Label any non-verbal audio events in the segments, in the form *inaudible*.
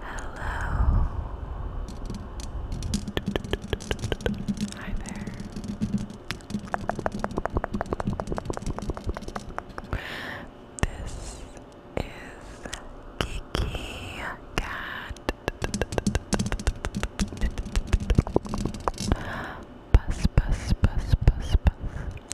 Hello. Hi there. This is Kiki Cat Bus Bus Bus Bus Bus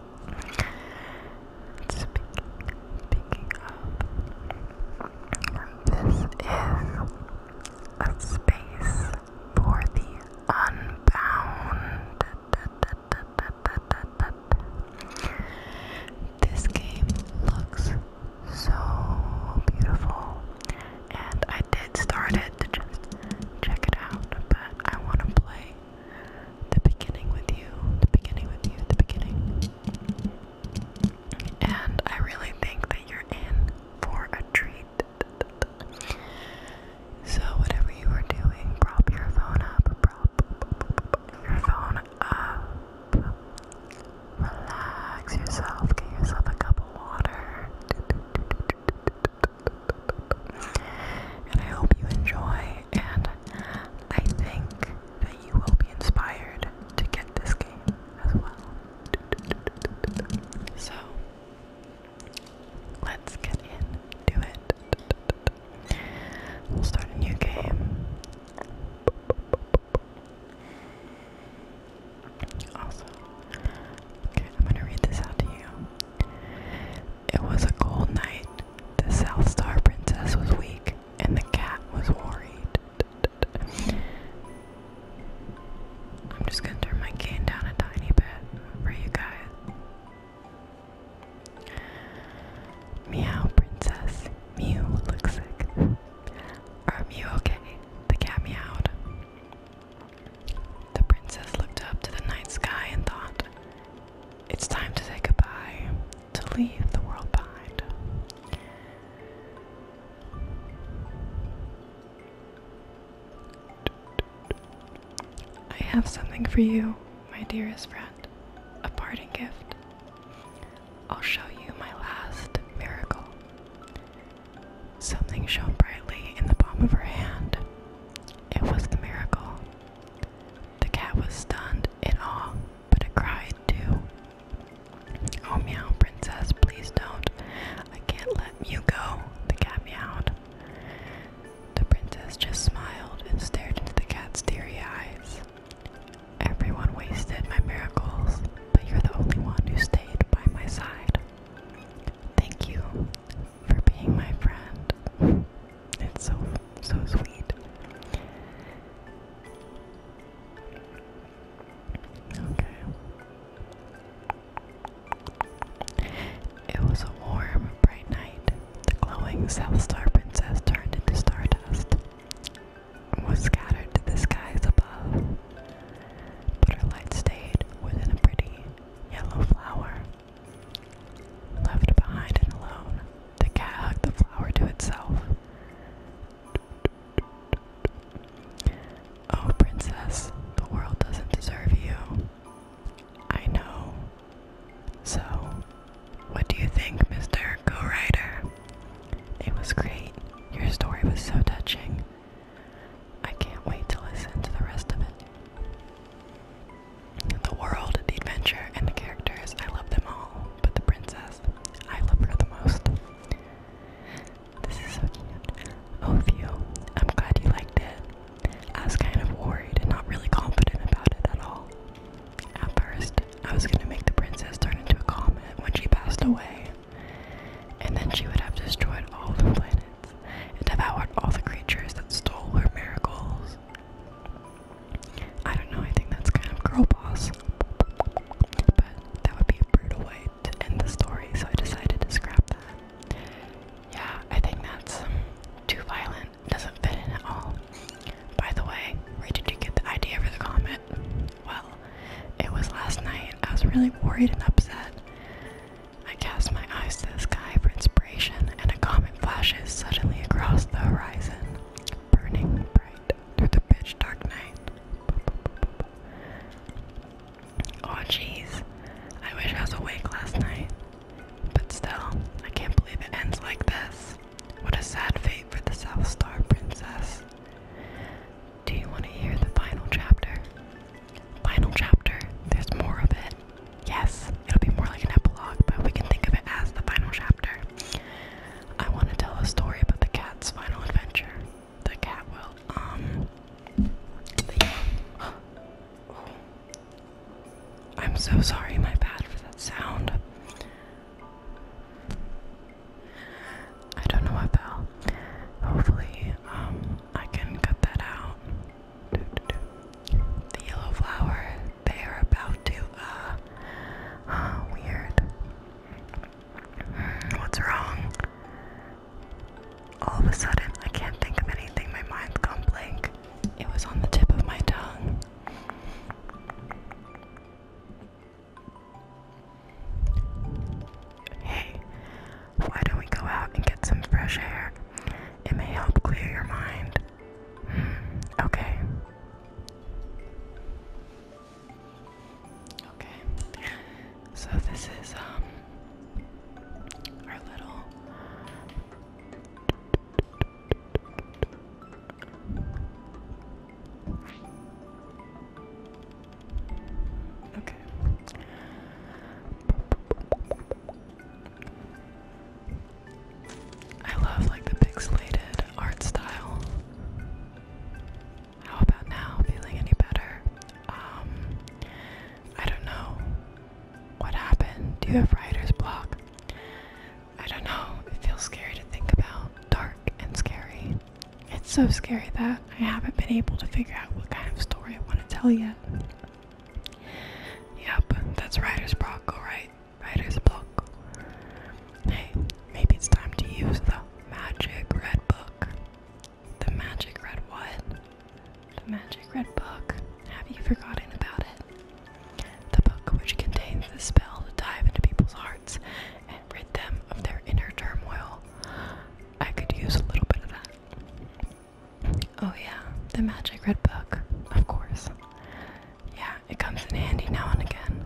Speaking, speaking of, this is a space for the unbound. This game looks so beautiful, and I did start it to just check it out, but I want to play the beginning with you, the beginning with you, the beginning. And I really think that you're in for a treat. So, whatever you are doing, prop your phone up, prop your phone up. Relax yourself, get yourself a cup of water. And I hope you enjoy and I think that you will be inspired to get this game as well. So, let's get into it. We'll start a new game. Also, okay, I'm gonna read this out to you. It was a cold night the South Star Princess was weak, and the cat was worried. I'm just gonna turn my cane down a tiny bit for you guys. Meow, princess. Mew looks sick. Are you okay? The cat meowed. The princess looked up to the night sky and thought, It's time to say goodbye to leave the world behind. I have something for you, my dearest friend, a parting gift. I'll show you my last miracle. Something shone brightly in the palm of her hand. It was the miracle the cat was stunned in awe, but it cried too. Oh, meow, princess, please don't. I can't let Mew go, the cat meowed. The princess just smiled and stared into the cat's teary eyes. Everyone wasted my miracles, but you're the only one who stayed by my side. Thank you for being my friend. *laughs* It's so so sweet. Okay. It was a warm, bright night. The glowing South Star Princess turned into stardust was scattered to the skies above. But her light stayed within a pretty yellow flower Left behind and alone, the cat hugged the flower to itself. Oh, princess, the world doesn't deserve you. I know. So, what do you think, Mr. Go Rider? It was great. Your story was so touching. I can't wait to listen to the rest of it. The world, the adventure, and the characters, I love them all. But the princess, I love her the most. This is so cute. Oh, Theo, I'm glad you liked it. I was kind of worried and not really confident about it at all. At first, I was going to make the princess turn into a comet when she passed away, and then she would have destroyed all the planets and devoured all the creatures that stole her miracles. I don't know, I think that's kind of girl boss. But that would be a brutal way to end the story, so I decided to scrap that. Yeah, I think that's too violent. Doesn't fit in at all. By the way, where did you get the idea for the comet? Well, it was last night. I was really worried and upset. I cast my eyes to the sky for inspiration, and a comet flashes suddenly across the horizon, burning bright through the pitch dark night. Oh jeez, I wish I was awake last night. But still, I can't believe it ends like this. What a sad fate for the South Star Princess. Do you want to hear the final chapter? Final chapter, there's more of it. Yes, it'll be more like an epilogue, but we can think of it as the final chapter. I want to tell a story about the cat's final adventure. The cat will, um. *gasps* I'm so sorry, my bad for that sound. I don't know what the Hopefully, um, I can cut that out. The yellow flower, they are about to, uh, weird. Hmm, what's wrong? All of a sudden, I can't think of anything. My mind's gone blank. It was on the tip of my tongue. Hey, why don't we go out and get some fresh air? It may help clear your mind. Okay. Okay. So this is um, our little Okay. I love like the pixelated art style. How about now? Feeling any better? Um, I don't know. What happened? Do you have writer's block? I don't know. It feels scary to think about. Dark and scary. It's so scary that I haven't been able to figure out what kind of story I want to tell yet. Yep, that's writer's block, alright? Writer's block. Hey, maybe it's time to use the magic red book. The magic red what? The magic red book. Have you forgotten about it? The book which contains the spell to dive into people's hearts and rid them of their inner turmoil. I could use a little bit of that. Oh, yeah, the magic red book, of course. Yeah, it comes in handy now and again.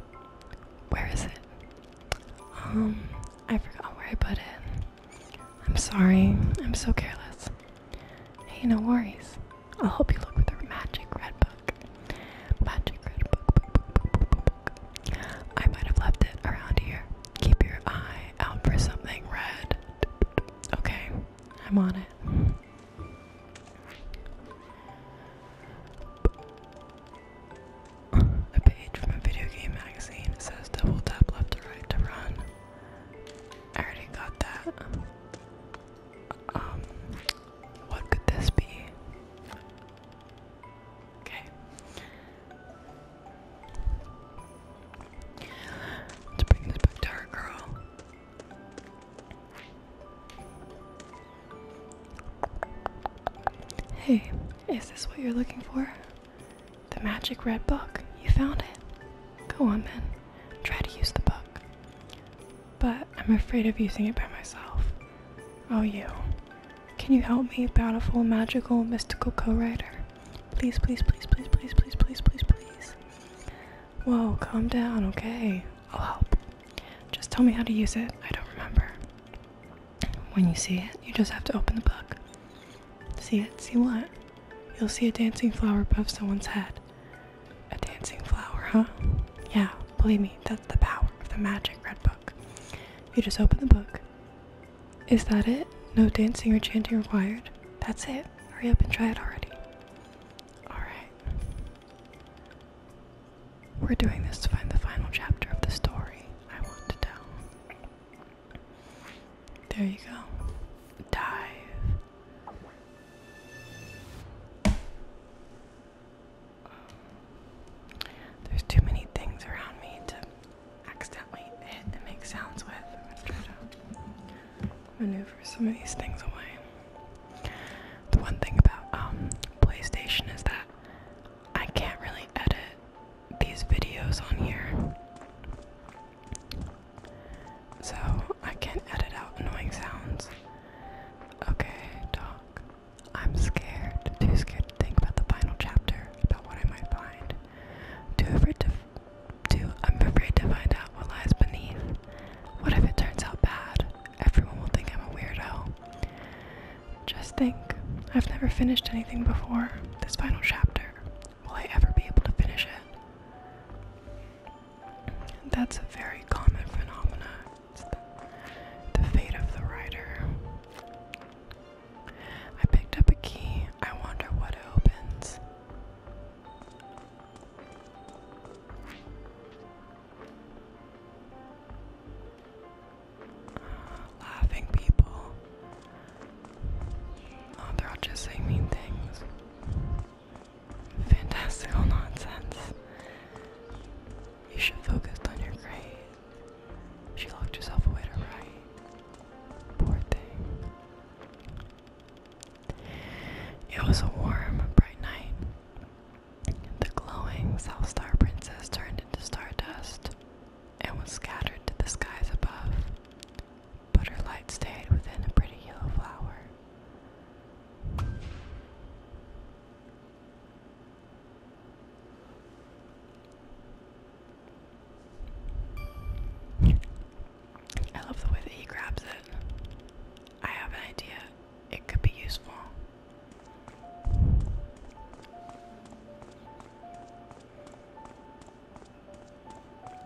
Where is it? Um, I forgot where I put it. I'm sorry, I'm so careless. Hey, no worries. I'll help you look for the magic red book. Magic red book, I might have left it around here. Keep your eye out for something red. Okay, I'm on it. A page from a video game magazine says double tap left to right to run. I already got that. Um, what could this be? Okay. Let's bring this back to our girl. Hey, is this what you're looking for? The magic red book. You found it. Go on then. Try to use the book. But I'm afraid of using it by myself. Oh, you. Can you help me, bountiful, magical, mystical co writer? Please, please, please, please, please, please, please, please, please. Whoa, calm down, okay? I'll help. Just tell me how to use it. I don't remember. When you see it, you just have to open the book. See it? See what? You'll see a dancing flower above someone's head. A dancing flower, huh? Yeah, believe me, that's the power of the magic red book. You just open the book. Is that it? No dancing or chanting required? That's it. Hurry up and try it already. Alright. We're doing this to find the final chapter of the story I want to tell. There you go. Dive. There's too many things around me to accidentally hit and make sounds with maneuver some of these things away. The one thing about um, PlayStation is that I can't really edit these videos on here. So I can't edit out annoying sounds. Okay, talk. I'm scared. Too scared to think about the final chapter, about what I might find. Too afraid to Two, I'm afraid to find out what lies beneath. What if it turns out bad? Everyone will think I'm a weirdo. Just think, I've never finished anything before. This final chapter. Will I ever be able to finish it? That's a very common phenomenon. the, fate of the writer. I picked up a key. I wonder what it opens. Laughing people. Oh, they're all just saying mean things. Fantastical nonsense. You should focus on your grades. She locked herself away to write. Poor thing. It was a warm, bright night. The glowing South Star Princess turned into stardust and was scattered to the skies above, but her light stayed within a pretty yellow flower. I love the way that he grabs it. I have an idea. It could be useful.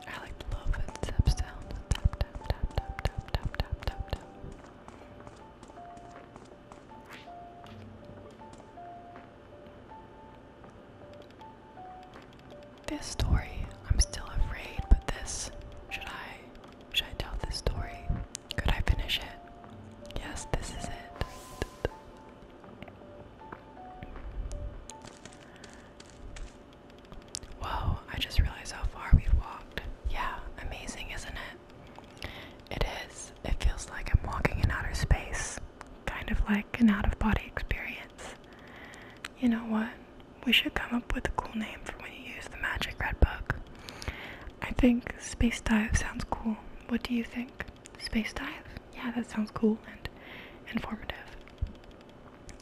I like the little footsteps down. tap, tap, tap, tap, tap, tap, tap, tap. This story, I'm still afraid, but this should I should I tell this story? Could I finish it? Yes, this is it. Whoa, I just realized how far we've walked. Yeah, amazing, isn't it? It is. It feels like I'm walking in outer space. Kind of like an out of body experience. You know what? We should come up with a cool name for when you use the magic red book. I think space dive sounds cool. What do you think? Space dive? Yeah, that sounds cool and informative.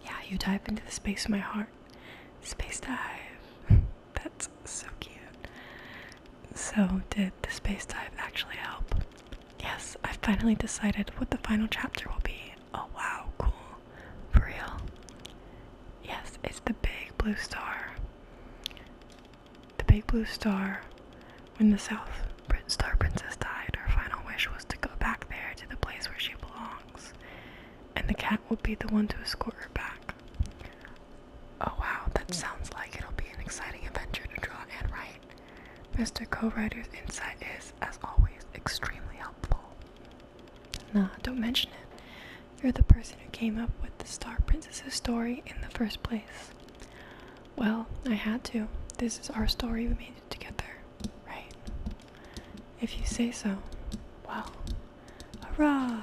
Yeah, you dive into the space of my heart. Space dive. *laughs* That's so cute. So, did the space dive actually help? Yes, I finally decided what the final chapter will be. Oh wow, cool. For real? Yes, it's the big blue star. The big blue star. When the South Star Princess died, her final wish was to go back there to the place where she belongs. And the cat will be the one to escort her back. Oh wow, that sounds like it'll be an exciting adventure to draw and write. Mr. Co-writer's insight is as always, extremely helpful. Nah, don't mention it. You're the person who came up with the Star Princess's story in the first place. Well, I had to. This is our story, we made it together, right? If you say so. Well, hurrah!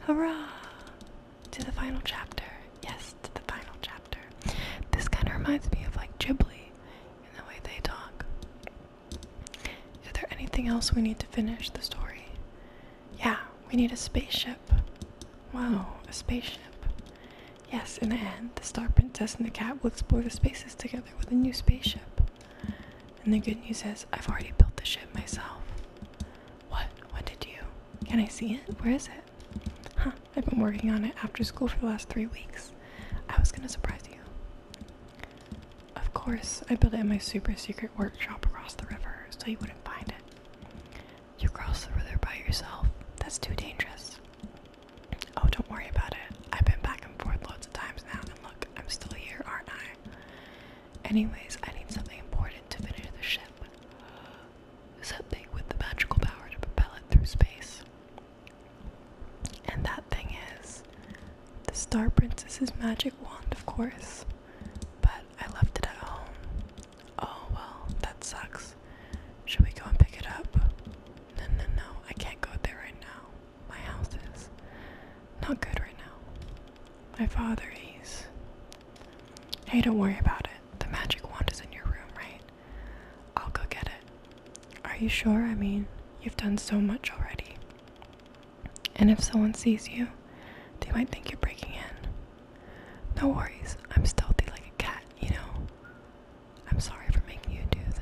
Hurrah! To the final chapter. Yes, to the final chapter. This kind of reminds me of like Ghibli the way they talk. Is there anything else we need to finish the story? Yeah, we need a spaceship. Wow, a spaceship. Yes, in the end, the Star Princess and the cat will explore the spaces together with a new spaceship. And the good news is, I've already built the ship myself. What? What did you? Can I see it? Where is it? Huh, I've been working on it after school for the last three weeks. I was gonna surprise you. Of course, I built it in my super secret workshop across the river so you wouldn't find it. You cross the river by yourself. That's too dangerous. Oh, don't worry about it. I've been back and forth loads of times now, and look, I'm still here, aren't I? Anyways, I need something important to finish the ship. Something with the magical power to propel it through space. And that thing is the Star Princess's magic wand, of course, but I left it at home. Oh well, that sucks. Should we go and pick it up? No, no, no, I can't go there right now. My house is not good right now. My father is. Hey, don't worry about it. The magic wand is in your room, right? I'll go get it. Are you sure? I mean, you've done so much already. And if someone sees you, they might think you're breaking in. No worries, I'm stealthy like a cat, you know? I'm sorry for making you do this.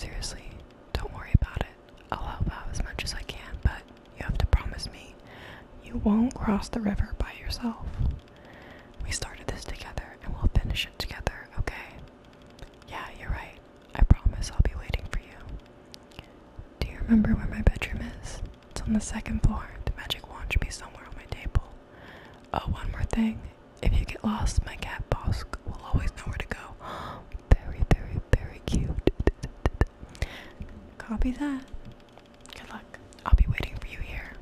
Seriously, don't worry about it. I'll help out as much as I can, but you have to promise me you won't cross the river by yourself. We started this together and we'll finish it together, okay? Yeah, you're right. I promise I'll be waiting for you. Do you remember where my bedroom is? It's on the second floor. The magic wand should be somewhere on my table. Oh, one more thing. If you get lost, my cat Bosk will always know where to go. *gasps* very, very, very cute. Copy that. Good luck. I'll be waiting for you here.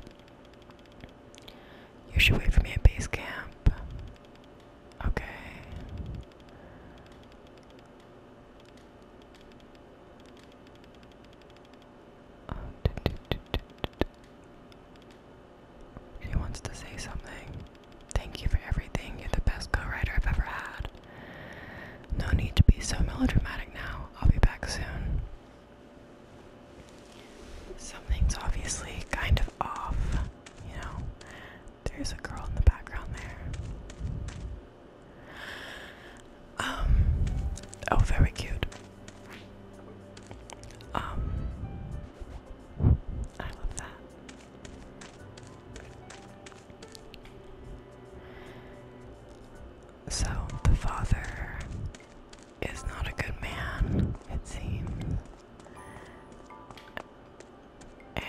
You should wait for me at base camp. Okay. He wants to say something. Thank you for everything. You're the best co-writer I've ever had. No need to be so melodramatic now. I'll be back soon. Something's obviously kind of off, you know. There's a girl in the background there. Um, oh, very cute. Um, I love that. So, the father is not a good man, it seems. And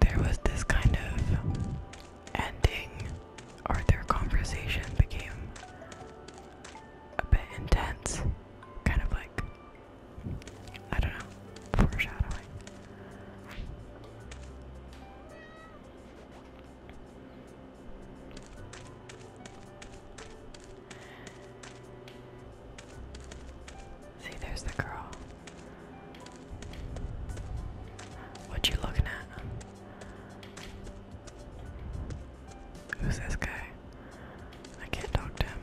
there was this kind of ending, or their conversation became a bit intense, kind of like I don't know. Foreshadowing. See, there's the girl. What you looking at? Who's this guy? I can't talk to him.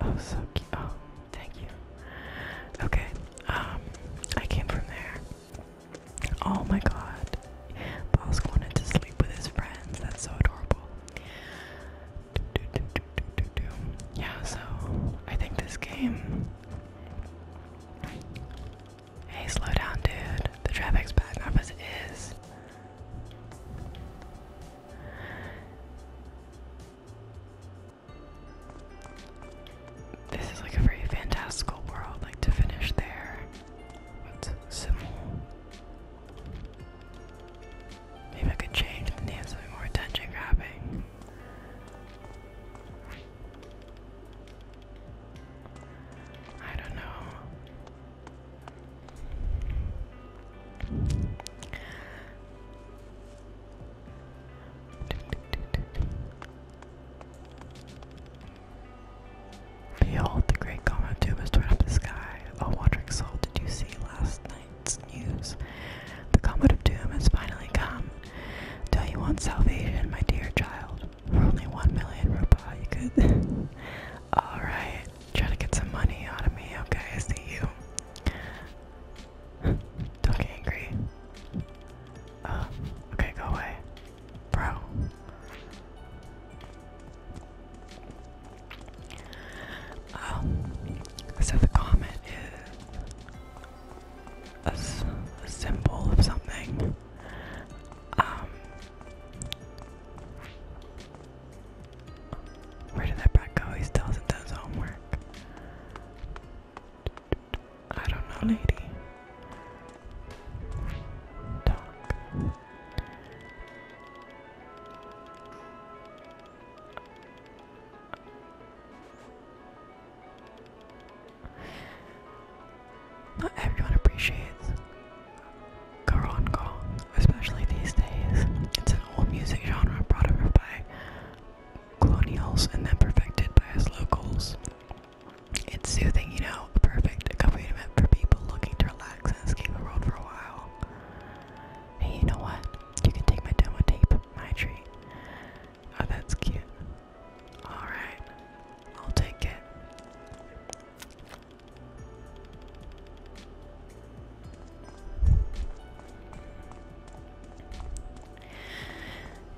Oh, so cute. Oh, thank you. Okay, um, I came from there. Oh my god. Bosk wanted to sleep with his friends. That's so adorable. Yeah, so I think this game. Hey, slow down, dude. The traffic's bad enough as it is. This is like a very fantastical world, like to finish there. What's Simul? Maybe I could change the name something more attention grabbing. I don't know. Behold, the great column of doom is torn up the sky. O wandering soul, did you see last night's news? The comet of doom has finally come. Do you want salvation, my dear child? For only one million rupees, you could. *laughs* Alright. Trying to get some money out of me. Okay, I see you. *laughs* Don't get angry. Um, okay, go away. Bro. Um, so the comet is a symbol of something. Um, where did that brat go? He still not done homework. I don't know, lady. Not everyone appreciates Garon especially these days. It's an old music genre brought over by colonials and then perfected by us locals. It's soothing, you know, a perfect accompaniment for people looking to relax and escape the world for a while. Hey, you know what? You can take my demo tape, my treat. Oh, that's cute. Alright, I'll take it.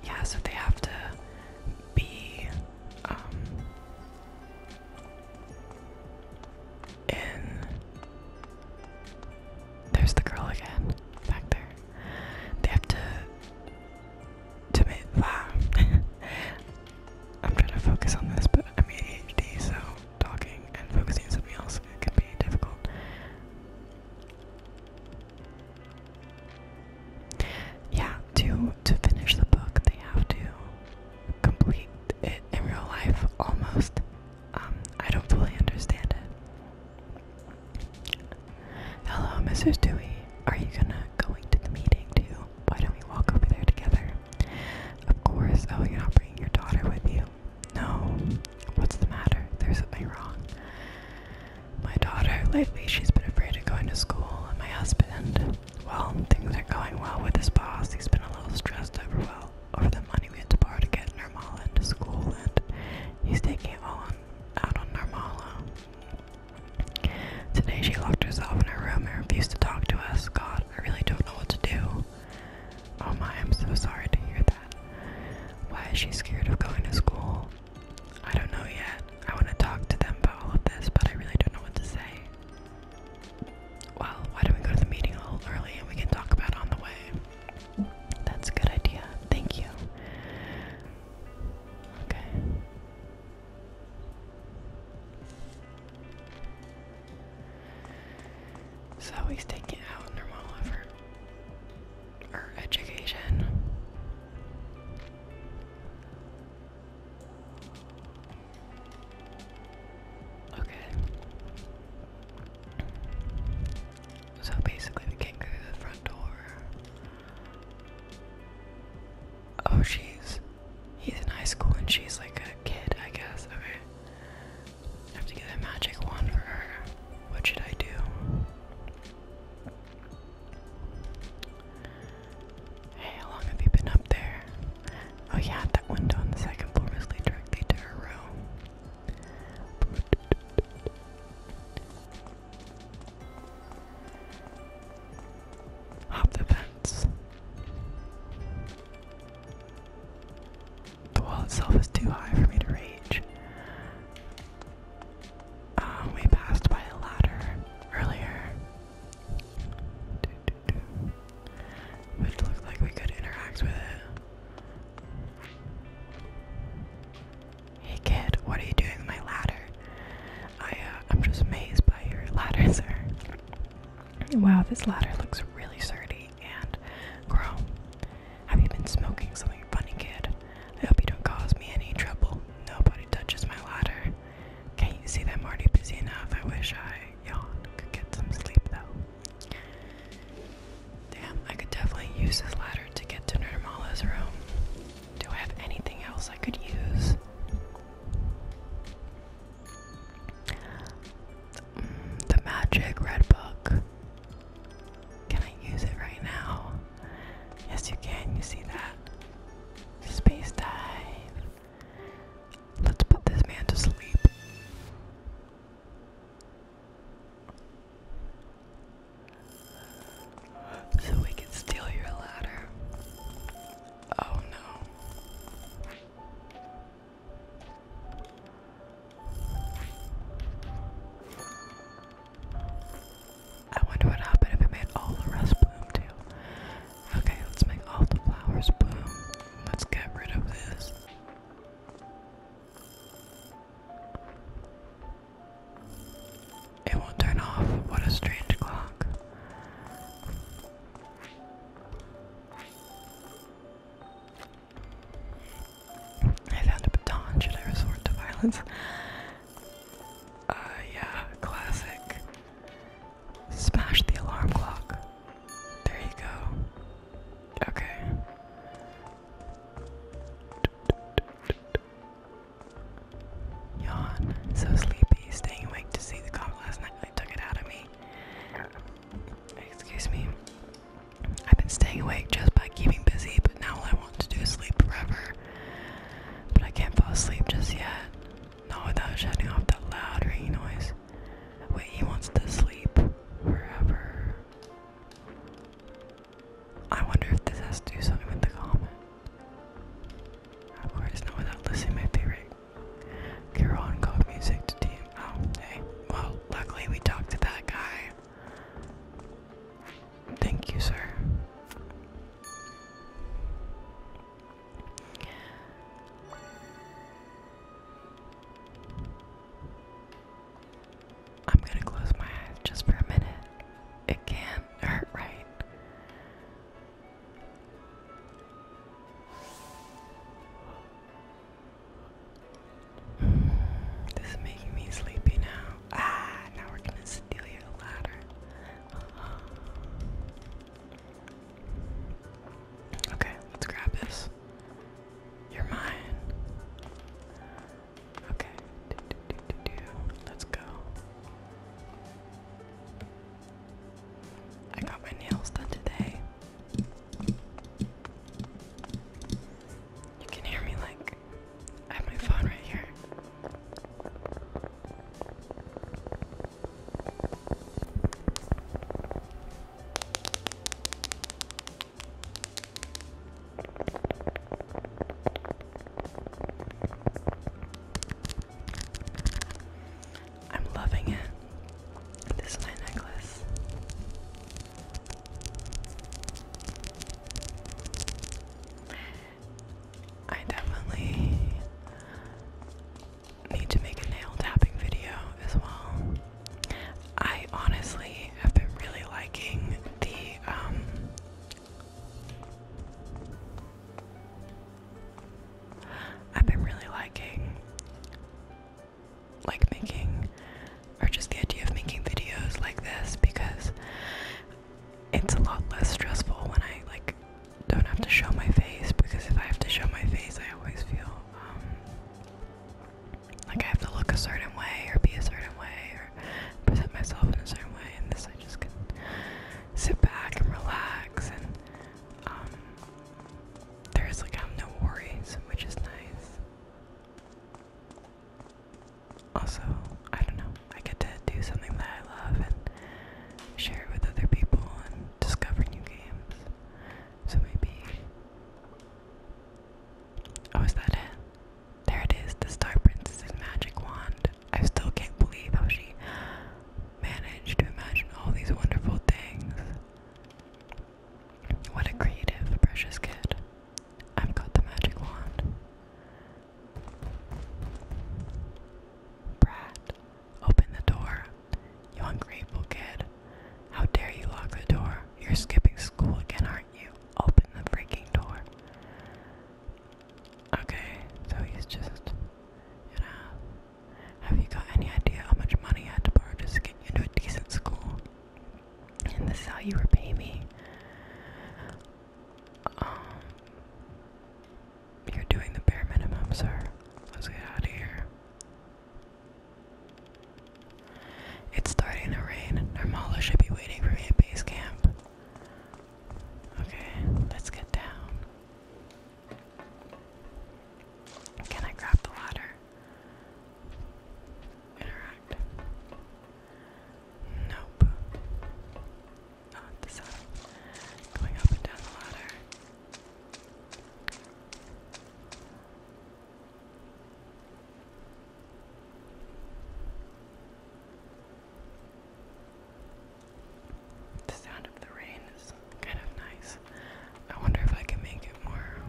Yeah, so they have to be um, There's the girl again back there. They have to. To make, *laughs* wow. I'm trying to focus on this, but I'm ADHD, so talking and focusing on something else can be difficult. Yeah, to to finish the book, they have to complete it in real life almost. Um, I don't fully understand it. Hello, Mrs. Dewey. Are you gonna going to the meeting too? why don't we walk over there together? Of course. Oh, you're not bringing your daughter with you? No. What's the matter? There's something wrong. My daughter, lately, she's been afraid of going to school, and my husband. Well, things are going well with his boss. He's been a little stressed over well over the money we had to borrow to get Nirmala into school, and he's taking it all on, out on Nirmala. Today she locked herself in her room and refused to talk to us. God, I really don't know what to do. Oh my, I'm so sorry to hear that. Why is she scared of going to school? I don't know yet. I want to talk to them about all of this, but I really don't know what to say. Well, why don't we go to the meeting a little early and we can talk about it on the way? That's a good idea. Thank you. Okay. So he's taking out normal effort or education. Okay. So basically, we can't go through the front door. Oh, jeez. He's in high school and she's like a kid, I guess. Okay. I have to get a magic wand for her. What should I do? Hey, how long have you been up there? Oh yeah, that window on the second floor is directly to her room. Hop the fence. The wall itself is too high for me to reach. Um, we passed by a ladder earlier, which looked like we could interact with it. Hey kid, what are you doing with my ladder? I, uh, I'm just amazed by your ladder, *laughs* sir. Wow, this ladder looks really sturdy and chrome. Have you been smoking something funny, kid? I hope you don't cause me any trouble. Nobody touches my ladder. Can't you see that I'm already busy enough? I wish I Could get some sleep though. Damn, I could definitely use this ladder to get to Nirmala's room. Do I have anything else I could use? Mm, the magic red book. Can I use it right now? Yes, you can. You see that? Space dive. Let's put this man to sleep. So we can steal your ladder. Oh no. I wonder what happened if we made all the rest bloom too. Okay, let's make all the flowers bloom. Let's get rid of this. It won't turn off. What a strange clock. I found a baton. Should I resort to violence? Uh, yeah, classic. Smash the alarm clock. There you go. Okay. Yawn. So sleepy. Staying awake to see the comet last night really took it out of me. Excuse me. I've been staying awake just by keeping busy, but now all I want to do is sleep forever. But I can't fall asleep just yet. Not without shutting off that loud ringing noise. Wait, he wants to sleep forever. I wonder if this has to do something with the comment. I've always without Lizzie, my favorite girl Music to team. Oh, hey. Well, luckily we talked to that guy. Thank you, sir. I'm gonna close my eyes just for a minute. It can hurt, right? *sighs* This is making me sleepy now. Ah, now we're gonna steal your ladder. *sighs* Okay, let's grab this. You're mine. Okay, let's go. I got my nails done today. You can hear me like I have my phone right here. I'm loving it. This is my necklace. I definitely need to make a nail tapping video as well. I honestly have been really liking the um, I've been really liking like making or just the idea of making videos like this because it's a lot less stressful when I like don't have to show my face because if I have to show my face I always feel um, like I have to look a certain way or be a certain way or present myself in a certain way and this I just can sit back and relax and um, there's like um, no worries, which is nice. Also, I don't know, I get to do something that I love and share it with other people and discover new games. So maybe. Oh, is that it? There it is, the Star Princess's magic wand. I still can't believe how she managed to imagine all these wonderful things. What a creative, precious kid. I've got the magic wand. Brat, open the door. You ungrateful kid. How dare you lock the door? You're skipping school again, aren't you? Open the freaking door. Okay, so he's just, you know, have you got any idea how much money I had to borrow to get you into a decent school? And this is how you repay me. Um, you're doing the bare minimum, sir. Let's get out of here. It's starting to rain. Normala should be waiting for me at base camp. Okay, let's get down. Can I grab the ladder? Interact. Nope. Not the setup. Going up and down the ladder. The sound of the rain is kind of nice. I wonder if I can make it more.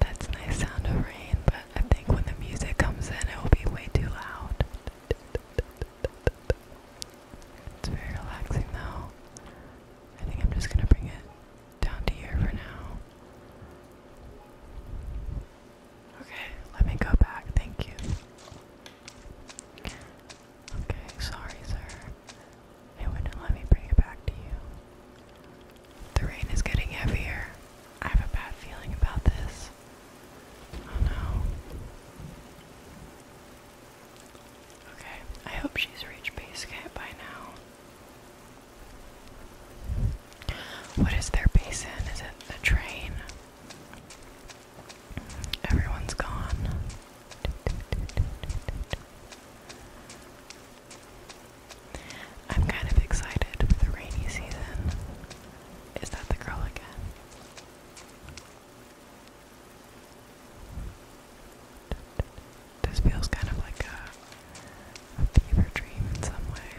That's nice sound of rain, but I think when the music comes in, it will be way too loud. It's very relaxing though. I think I'm just gonna bring it down to here for now. Okay, let me go back. Thank you. Okay, sorry, sir. It wouldn't let me bring it back to you. The rain is getting heavier. I have a bad feeling about this. Oh no. Okay, I hope she's reached base camp by now. What is their base Is it the train? Everyone's gone. I'm kind of excited for the rainy season. Is that the girl again? This feels kind of like a, fever dream in some way.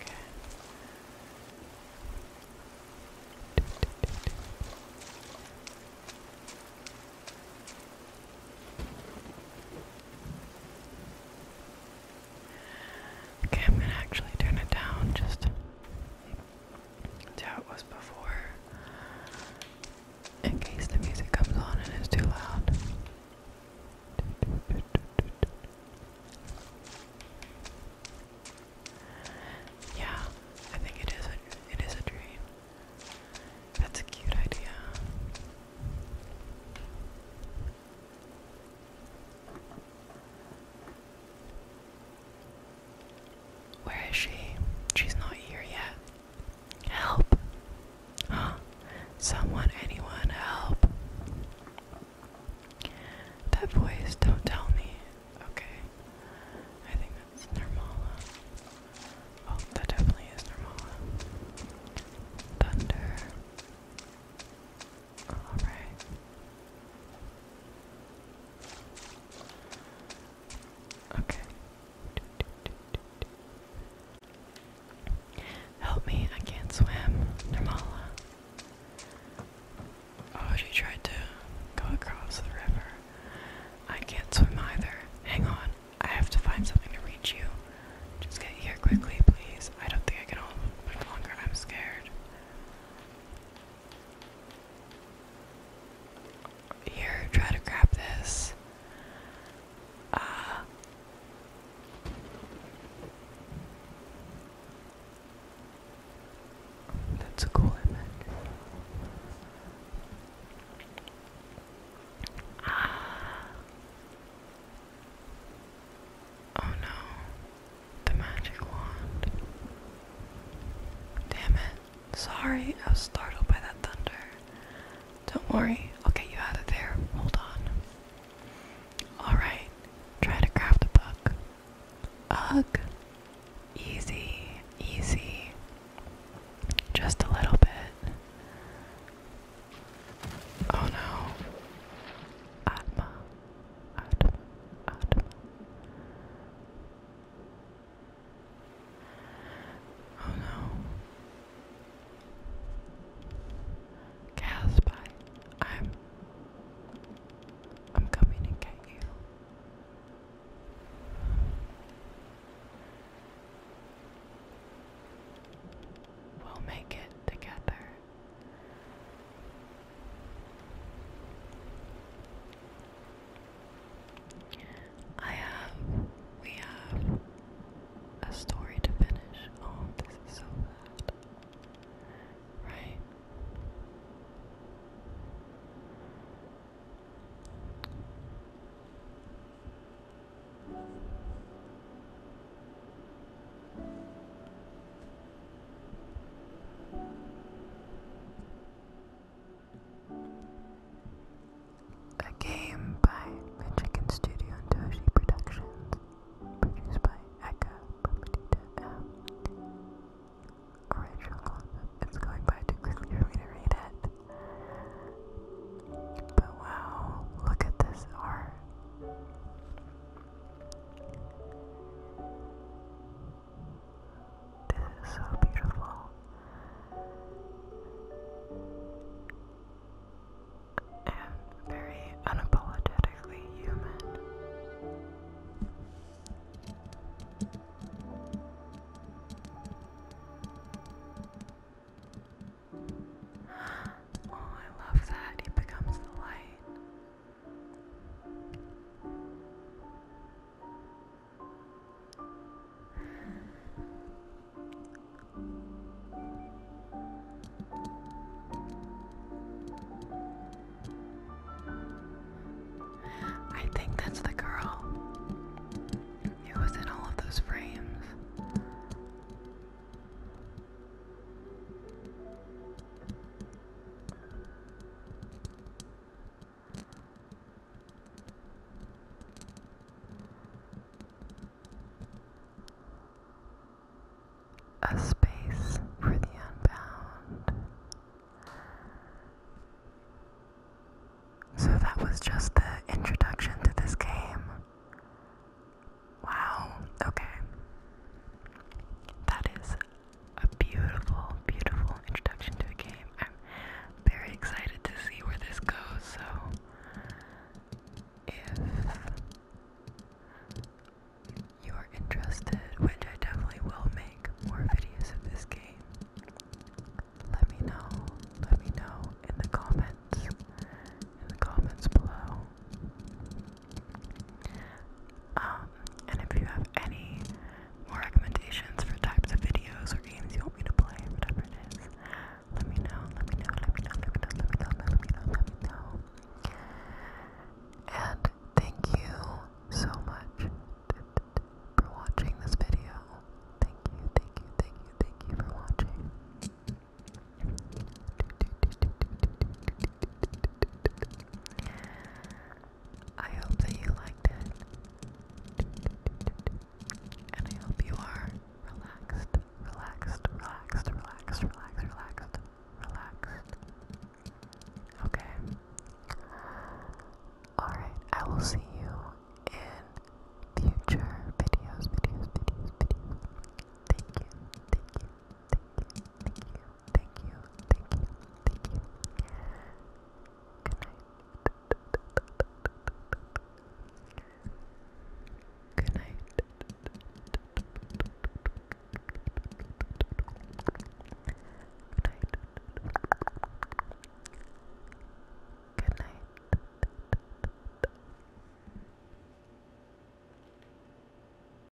Okay. Okay, I'm gonna actually turn it down just to it was before in case the music comes on and it's too loud. Yeah, I think it is it is a dream. That's a cute idea. Where is she? She's not here yet. Help! Huh? Someone, anyone, help! That voice, don't tell me. Okay. I think that's Nirmala. Oh, that definitely is Nirmala. Thunder. All right. Okay. Help me, I can't swim. Normala. Oh, she tried to go across the river. I can't swim either. Hang on, I have to find something to reach you. Just get here quickly, please. I don't think I can hold much longer. I'm scared. Here, try to grab this. Uh, that's a cool image. Ah. Oh no the magic wand. Damn it. Sorry, I was startled by that thunder. Don't worry, I'll get you out of there. Hold on. Alright, try to craft a book. Ugh. Easy, easy. Just a little bit. Oh no. Atma. Atma, Atma. Oh no. Gaspy, I'm I'm coming and get you. We'll make it together. I have, we have a story to finish. Oh, this is so bad. Right? A game by Michigan Studio and Toshi Productions, produced by Eka Papadita M. It's going by too quickly for me to read it. But wow, look at this art. This is so beautiful. And very unapologetically human. *gasps* Oh, I love that. He becomes the light. I think that's the girl who was in all of those frames. A space for the unbound. So that was just the introduction to this game. Wow, okay. That is a beautiful, beautiful introduction to the game. I'm very excited to see where this goes, so if you are interested, which I definitely will make more videos of this game, let me know. Let me know in the comments. In the comments below. Um, and if you have any more recommendations for types of videos or games you want me to play, whatever it is, let me know, let me know, let me know, let me know, let me know, let me know, let me know. And thank you so much for watching this video. Thank you, thank you, thank you, thank you for watching. I hope that you liked it. And I hope you are relaxed, relaxed, relaxed, relaxed, relaxed, relaxed, relaxed. Okay. Alright, I will see you in future videos, videos, videos, videos. Thank you, thank you, thank you, thank you thank you, thank you, thank you. Good night. Good night. Good night. Good night.